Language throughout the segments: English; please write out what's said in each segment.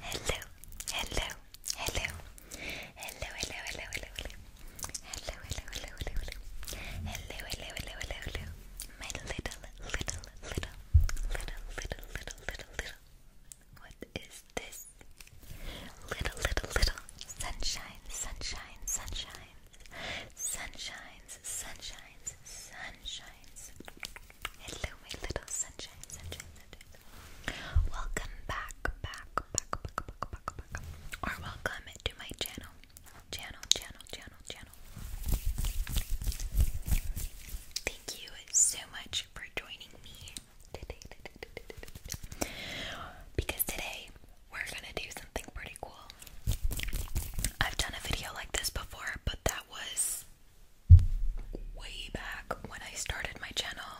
Hello, hello, hello, hello, hello, hello, hello, hello, hello, hello, hello, hello, hello, hello, hello, hello, hello, hello, my little, little, little, little, little, little, little, little. What is this? Little, little, little sunshine, sunshine, sunshine, sunshines, sunshines, sunshines. Hello, little sunshine, sunshine, sunshine. Welcome back, back, back, back, back, back, back. Or welcome to my channel. Channel, channel, channel, channel. Thank you so much for joining me today. Because today we're gonna do something pretty cool. I've done a video like this before, but that was way back when I started my channel,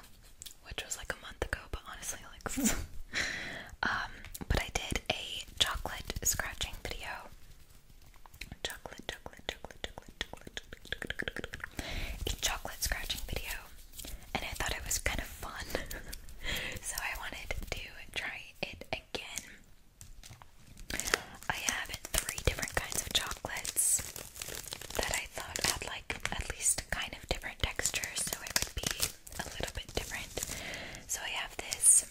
which was like a month ago, but honestly, like, um, but I did a chocolate scratching video. Chocolate, chocolate, chocolate, chocolate, chocolate, chocolate, chocolate, chocolate. a chocolate scratching video, and I thought it was kind of fun, so I wanted to try it again. I have three different kinds of chocolates that I thought had like at least kind of different textures, so it would be a little bit different. So I have this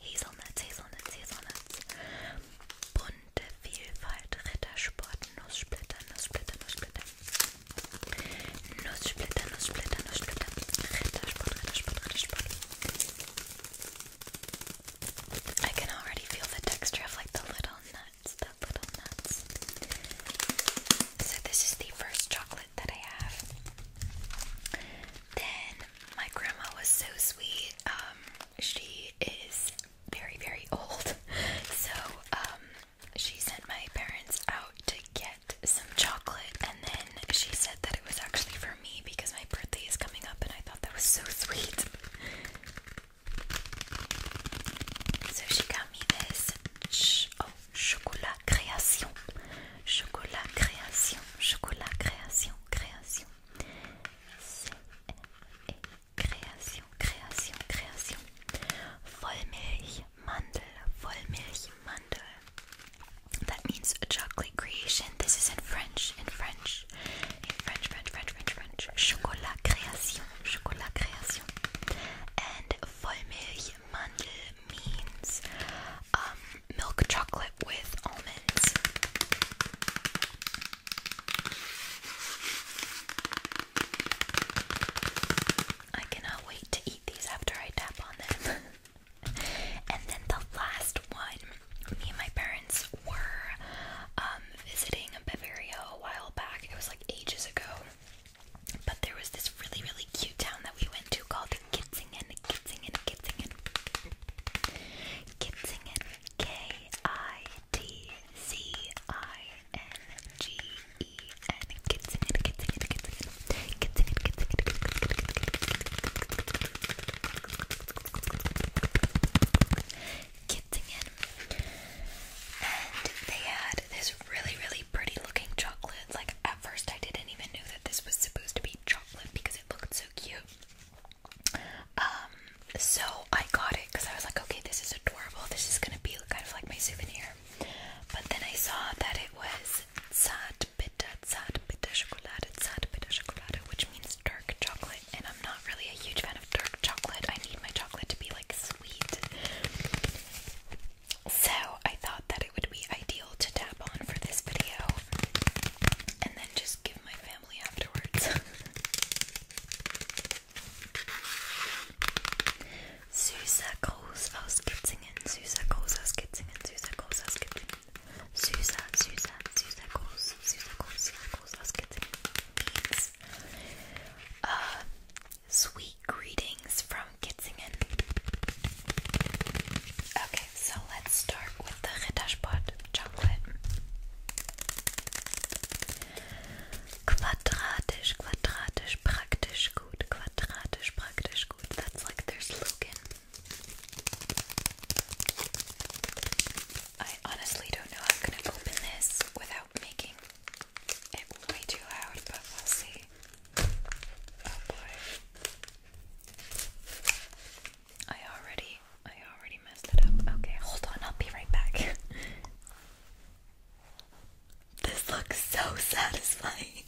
Hazelnuts, Hazelnuts, Hazelnuts. Bunte Vielfalt, Rittersport, Nusssplitter, Nusssplitter, Nusssplitter. Nusssplitter, Nusssplitter, Nusssplitter. Rittersport, Rittersport, Rittersport. I can already feel the texture of like the little nuts, the little nuts. So this is the first chocolate that I have. Then my grandma was so sweet. Um, she is very, very old. So, um, she sent my parents out to get some chocolate, and then she said that it was actually for me because my birthday is coming up, and I thought that was so sweet. So she got me this ch oh, chocolat création, chocolat création, chocolat création, création. -E Création, Création, Création. Vollmilch, Mandel, Vollmilch, Mandel. That means chocolate creation. This is in French, in French, in French, French, French, French, French. Chocolat création, chocolat création. And Vollmilch, Mandel means um, milk chocolate with almonds. I cannot wait to eat these after I tap on them. and then the last one, me and my parents were um, visiting Bavaria a while back. It was like ages ago. But there was this really, really cute town that we went to called Kitzingen. Kitzingen, Kitzingen, Kitzingen, K I T C I N G E N, Kitzingen, Kitzingen, Kitzingen, Kitzingen, Kitzingen, Kitzingen, and they had this really, really pretty looking chocolate. Like at first, I didn't even know that this was supposed to be chocolate because it looked so cute. Um, so I got it because I was like, okay, this is adorable. This is gonna be kind of like my souvenir. But then I saw that it was sad bitter, sad bitter chocolate, sad bitter chocolate, which means dark chocolate. And I'm not really a huge fan of dark chocolate. I need my chocolate to be like sweet. So I thought that it would be ideal to tap on for this video and then just give with my family afterwards. Süßer Gruß aus Kitzingen, süßer Gruß aus Kitzingen, süßer Gruß aus Kitzingen. Süßer, süßer, süßer Gruß, süßer Gruß, süßer Gruß aus Kitzingen sweet greetings from Kitzingen. Okay, so let's start with the Rittersport chocolate. Quadratisch, quadratisch, praktisch gut, quadratisch, praktisch gut. That's like their slogan. I honestly don't know how I'm gonna open this without making it way too loud, but we'll see. Oh boy. I already, I already messed it up. Okay, hold on, I'll be right back. this looks so satisfying.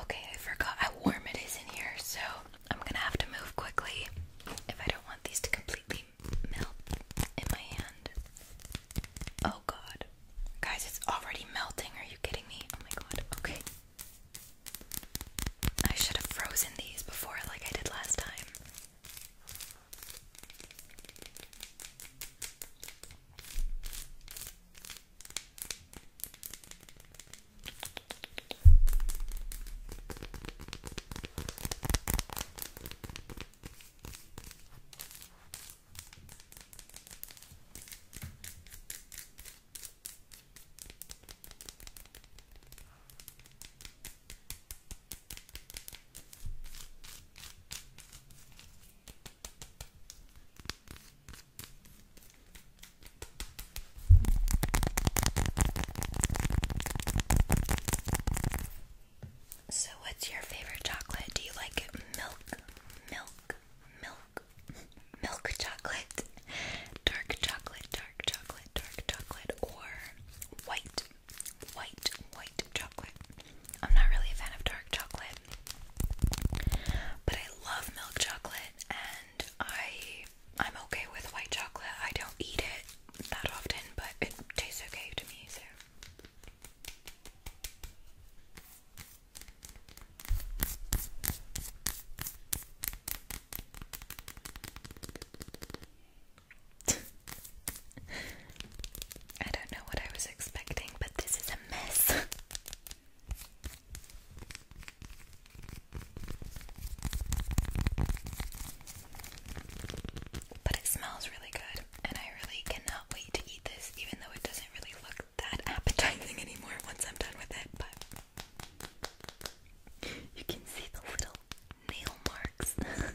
Okay, I forgot how warm it is in here, so I'm gonna have to move quickly if I don't want these to completely melt in my hand. Oh god. Guys, it's already melting. Are you kidding me? Oh my god. Okay. I should have frozen these before, like I did last time. So, what's your favorite chocolate? Do you like milk, milk, milk, milk chocolate, dark chocolate, dark chocolate? dark chocolate, or white, white, white chocolate. I'm not really a fan of dark chocolate, but I love milk chocolate, and I I'm okay with white chocolate. I don't eat it that often, but it tastes okay to me. So. I don't know what I was expecting, but this is a mess. but it smells really good, and I really cannot wait to eat this, even though it doesn't really look that appetizing anymore once I'm done with it, but you can see the little nail marks.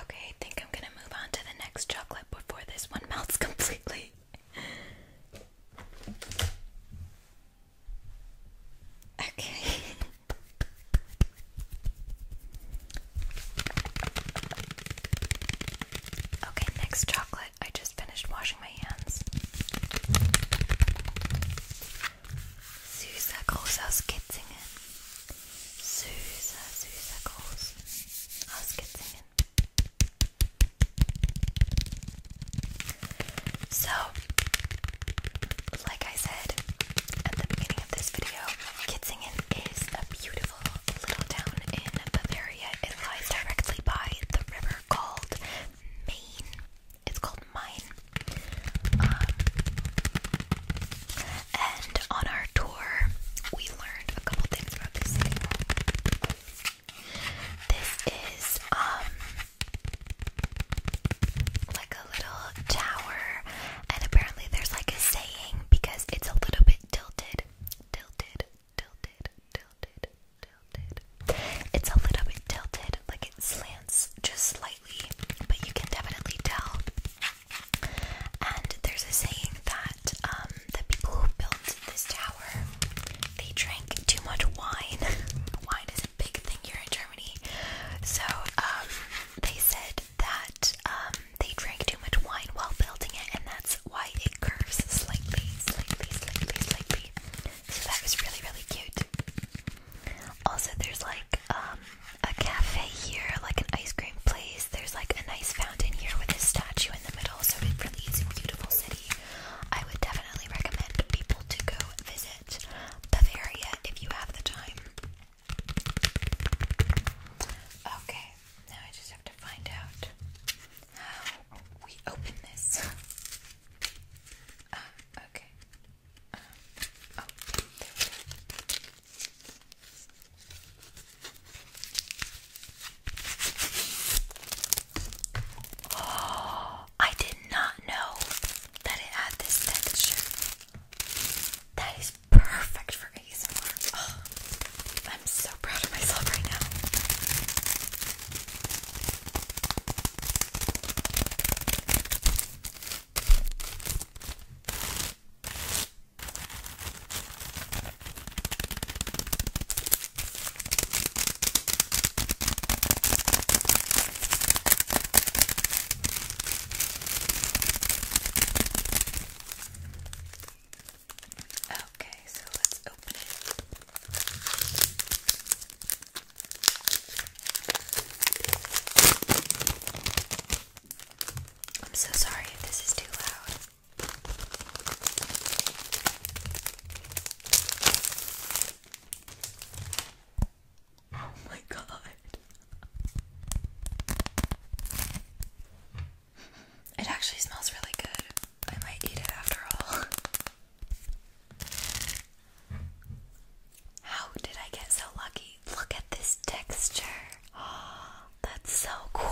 Okay, I think I'm gonna move on to the next chocolate before this one melts completely. okay. Okay, next chocolate. I just finished washing so, like I said at the beginning of this video, Kitzingen is a beautiful little town in Bavaria. It lies directly by the river called Main. It's called Mine. Um, and on our tour, we learned a couple things about this This is um like a little tower, and apparently there's like a saying because it's a little bit tilted, tilted, tilted, tilted, it's a little bit tilted, like it slants just slightly, but you can definitely tell. And there's a saying that um, the people who built this tower, they drank too much wine. wine is a big thing here in Germany. So um, they said that um, they drank too much wine while building it, and that's why it curves slightly, slightly, slightly, slightly. So that was really, really cute. Also, there's like um, a cafe here, like an ice cream place. There's like a nice fountain here with a statue in the middle. So it really is a beautiful city. I would definitely recommend people to go visit Bavaria if you have the time. Okay, now I just have to find out how we open this. Oh, okay. oh, I did not know that it had this texture. That is perfect for ASMR. I'm so proud of myself right now. Okay, so let's open it. I'm so sorry if this is too loud. Oh my god. It actually smells really good. I might eat it after all. How did I get so lucky? Look at this texture. that's so cool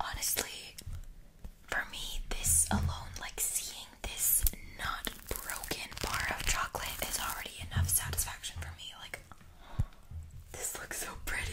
honestly, for me, this alone, like seeing this not broken bar of chocolate, is already enough satisfaction for me. Like, this looks so pretty.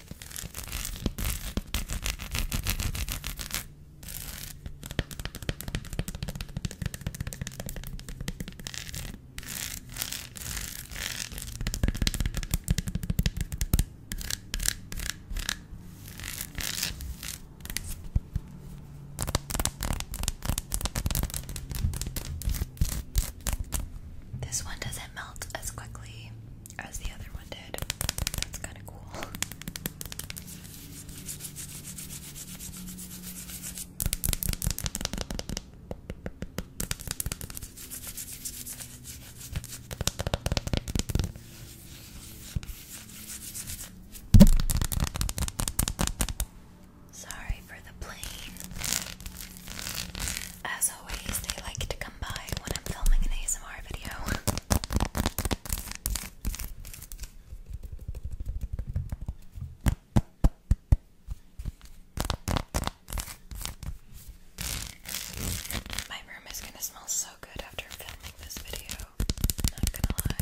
This one doesn't melt as quickly as the other one did. That's kind of cool. Sorry for the plane. As always, they like to come by when I'm filming an ASMR video. My room is gonna smell so good after filming this video. not gonna lie.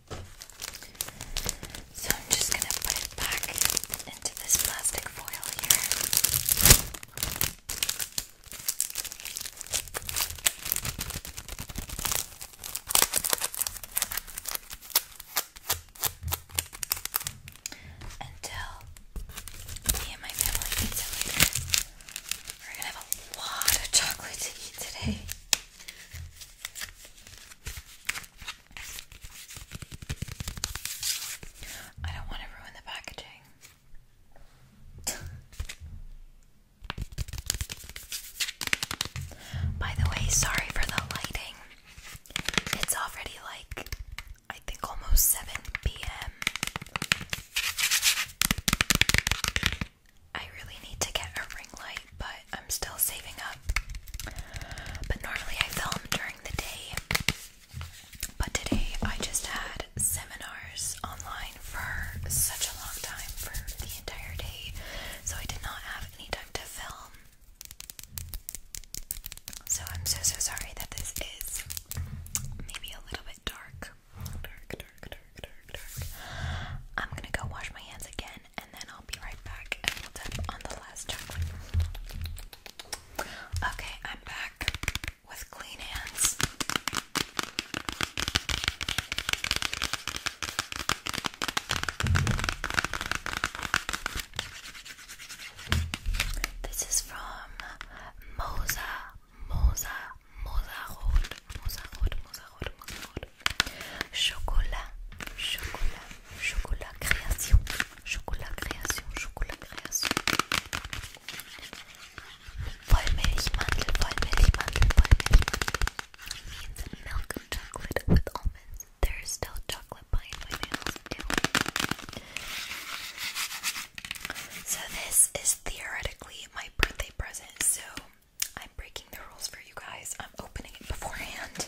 so I'm just going to put it back into this plastic foil here until me and my family eats it We're gonna have a lot of chocolate to eat today. I don't want to ruin the packaging. By the way, sorry for the lighting. It's already like, I think almost 7 p.m. I really need to get a ring light, but I'm still saving up. But normally I film during the day. But today I just had seminars online for such a long time, for the entire day, so I did not have any time to film. So I'm so so sorry that this is maybe a little bit dark. Dark, dark, dark, dark, dark. I'm gonna go wash my hands again and then I'll be right back and we'll tap on the last chocolate. Okay, I'm back with clean hands. This is from Moza, Moza, Moza Road, Moza Road, Moza Road, Moza Road. Chocolate, chocolate, chocolate création, Chocolate création, Chocolate création. Vollmilchmantel, Vollmilchmantel, Vollmilchmantel. Means milk chocolate with almonds. There is still chocolate behind my nails So this is theoretically my birthday present. So I'm breaking the rules for you guys. I'm opening it beforehand.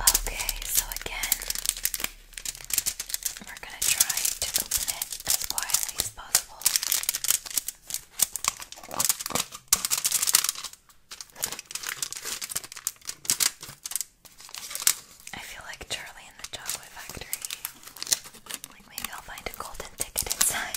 Okay, so again, we're going to try to open it as quietly as possible. I feel like Charlie in the Chocolate Factory. Like maybe I'll find a golden ticket inside.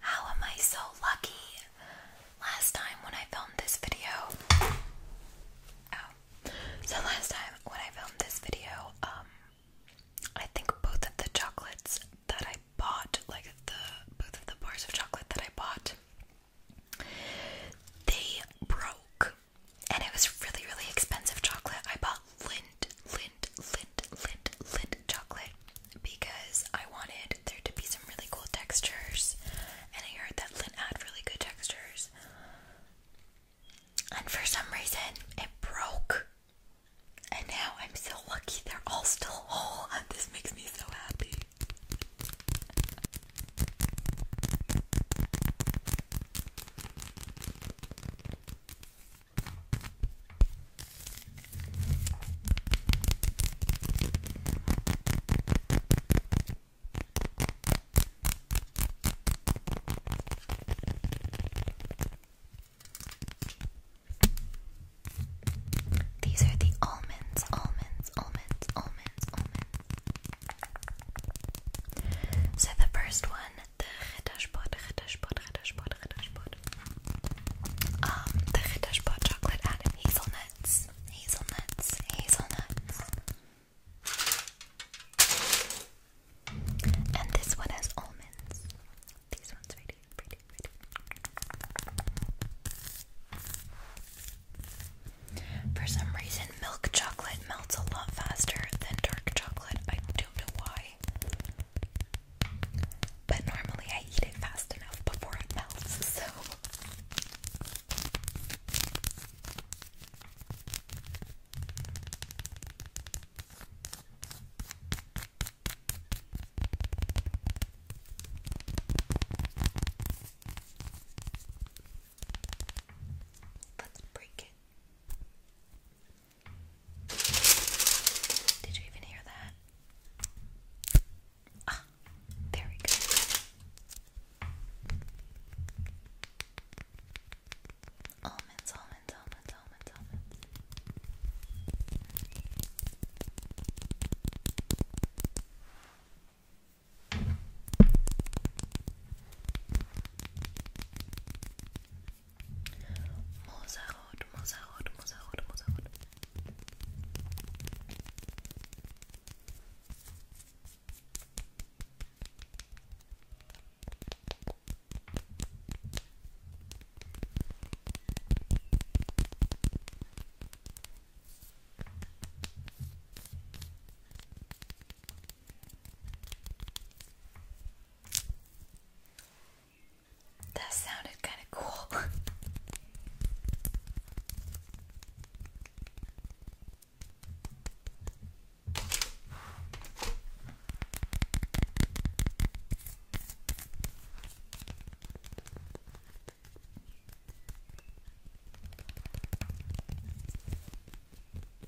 How am I so lucky? Last time when I filmed this video, oh, so last time when I filmed this video, um, I think both of the chocolates that I bought, like the both of the bars of chocolate that I bought, they broke. And it was really, really expensive chocolate. I bought Lind, Lind, Lind, Lind, Lind chocolate because I wanted there to be some really cool textures. And I heard that Lind had really good textures. And for some reason, it broke. And now I'm so lucky they're all still whole. And this makes me so happy. These are the almonds, almonds, almonds, almonds, almonds. So the first one, the Rittersport, Rittersport, Rittersport, Rittersport. Um, the Rittersport chocolate added hazelnuts, hazelnuts, hazelnuts. And this one has almonds. These ones pretty, pretty, pretty. For some reason, milk chocolate melts a lot faster than dark chocolate. I don't know why. But normally I eat it fast enough before it melts, so. Let's break it. Did you even hear that? Ah, there we go. Almonds, almonds, almonds, almonds, almonds. Mozart, Mozart, Mozart, Mozart. That sounded kind of cool.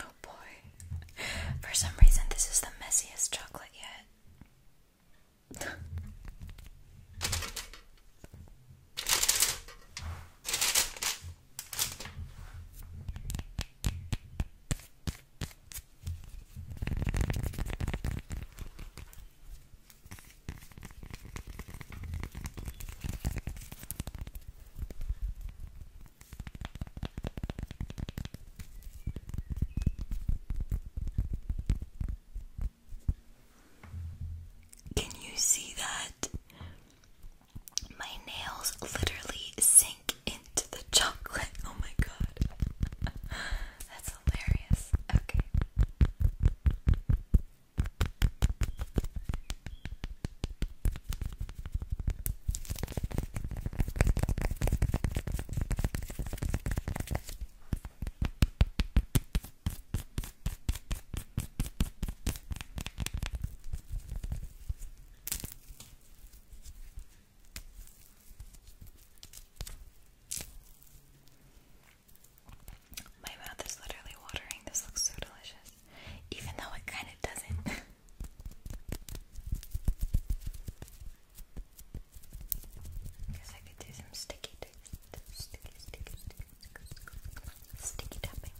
Oh boy. For some reason, this is the messiest chocolate yet. Can you see that? My nails literally sink into the chocolate. Oh my god. That's hilarious. Okay. My mouth is literally watering. This looks so delicious, even though it kind of doesn't. Guess I could do some sticky, sticky, sticky, sticky, sticky, sticky, sticky, sticky tapping.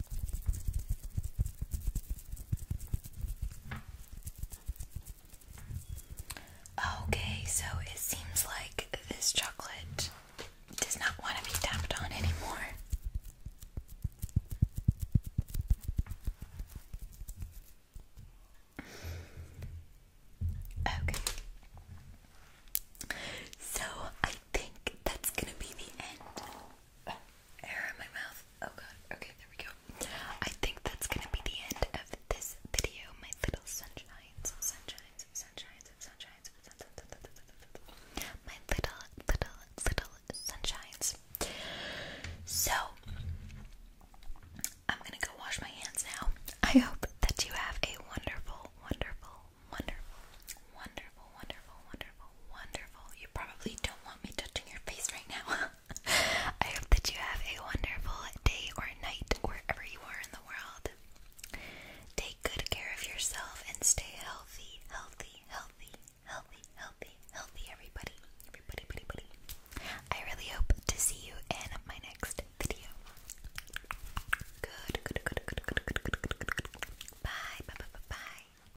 Okay, so it seems like this chocolate does not want to be tapped on anymore. Okay. So I think that's going to be the end air in my mouth. Oh god. Okay, there we go. I think that's gonna be the end of this video, my little sunshines, sunshines, sunshines, sunshines, sunshines my little, little, little sunshines. So I'm gonna go wash my hands now. I hope that you have a wonderful, wonderful, wonderful, wonderful, wonderful, wonderful, wonderful. You probably don't want me touching your face right now. I hope that you have a wonderful day or night wherever you are in the world. Take good care of yourself and stay healthy, healthy, healthy, healthy, healthy, healthy, everybody. Everybody, everybody, everybody. I really hope to see you in my next video. Good, good, good, good, good, good, good, good, good, good. Bye, bye, bye, bye, bye.